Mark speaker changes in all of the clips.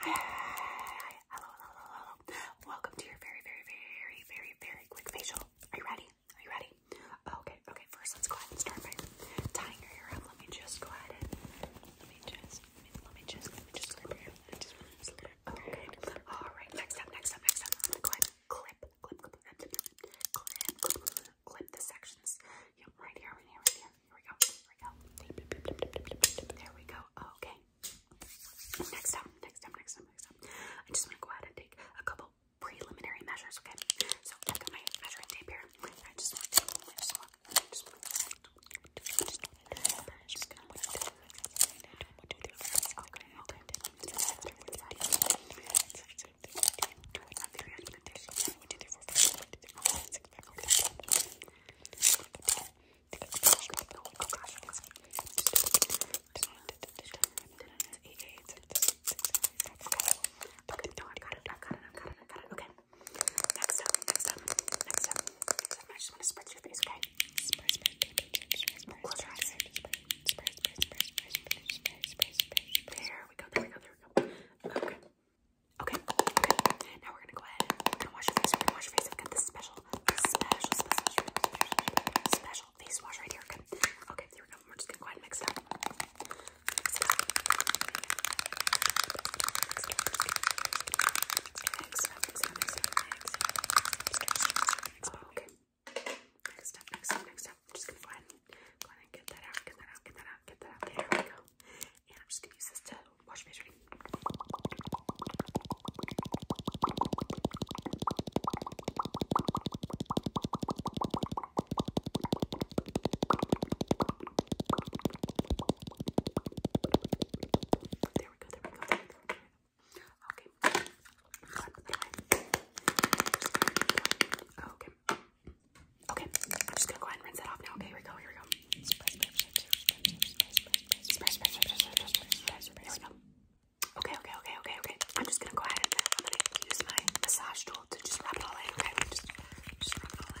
Speaker 1: Hello, hello, hello, Welcome to your very, very, very, very, very quick facial. Are you ready? Are you ready? Okay, okay. First, let's go ahead and start by tying your hair up. Let me just go ahead and let me just, let me, just, let me just clip your hair. Let me just clip it. Okay. All right. Next up, next up, next up. go ahead and clip, clip, clip, clip, clip, clip, clip, clip, clip the sections. Yep, right here, right here, right here. Here we go. There we go. Okay. Next up, next up, next up, next up. I just want to go ahead and take a couple preliminary measures, okay? So i got my measuring tape here. I just want Okay. Next up, next up, next up, I just want to spritz your face, okay? There we go, there we go, there we go. Okay. Okay, okay. Now we're gonna go ahead. We're gonna wash your face. We're gonna wash your face. I've got this special, special, special, special face wash right here. Okay, okay. Here we go. We're just gonna go ahead and mix it up. Mix it up. Mix it up. Mix it up. Mix it up. Mix it up. Okay. Next up. Next up. Next up. I'm just gonna go ahead and go ahead and get that out. Get that out. Get that out. Get that out. There we go. And I'm just gonna use this to wash your face really. There we go, there we go, there we go. Okay. Okay. Okay, I'm just gonna go ahead and rinse that off now.
Speaker 2: Okay, here we go, here we go. Okay,
Speaker 1: okay, okay, okay, okay. I'm just gonna go ahead and use my massage tool to just rub all in. Okay, just, rub all in.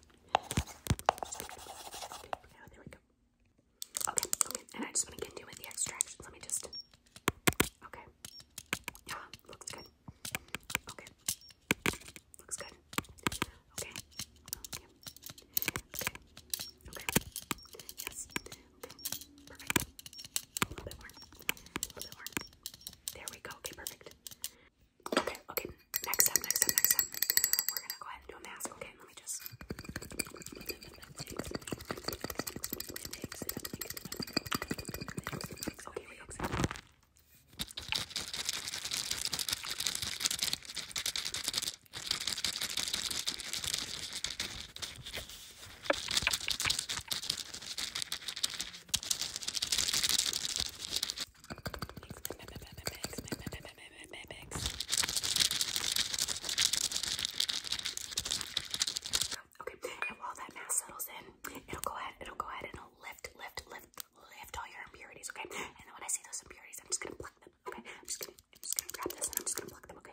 Speaker 1: Oh, okay, and I just want to get into with the extractions. Let me just. Okay. Yeah, uh-huh, looks good. Okay. Looks good. Okay. Okay. Okay. Yes. Perfect. A little bit more. A little bit more. There we go. Okay, perfect. Okay, okay. Next step, next step, next step. We're gonna go ahead and do a mask. Okay, let me just. Okay, oh, here we go. Okay, and while that mass settles in, it'll go ahead, it'll go ahead and it'll lift, lift, lift, lift all your impurities, okay? And when I see those impurities, I'm just gonna pluck them, okay? I'm just gonna, I'm just gonna grab this and I'm just gonna pluck them, okay?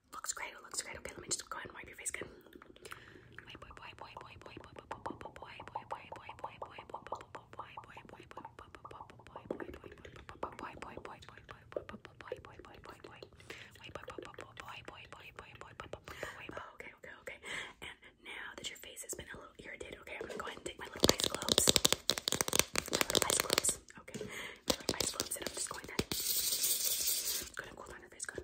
Speaker 1: Looks great, it looks great. Okay, let me just go ahead and wipe your face good. Boy, boy, boy, boy, boy, boy, boy, boy, boy, boy, boy,
Speaker 2: boy, boy, boy, boy, Okay, okay, okay. And now that your face has been a little irritated, okay, I'm gonna go ahead and take my little ice gloves. My little ice gloves. Okay. My little ice gloves, and I'm just going to gonna cool down your face. Good.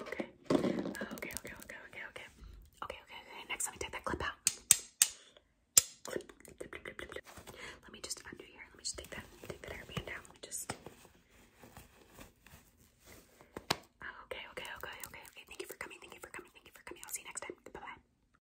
Speaker 3: Okay. Okay, okay, okay, okay, okay, okay. Okay, okay, Next, let me take that clip out. Let me just undo here. Let me just take that, take that hairband down. Let me just. Okay, okay, okay, okay. Okay, thank you for coming. Thank you for coming. Thank you for coming. I'll see you next time. Bye bye.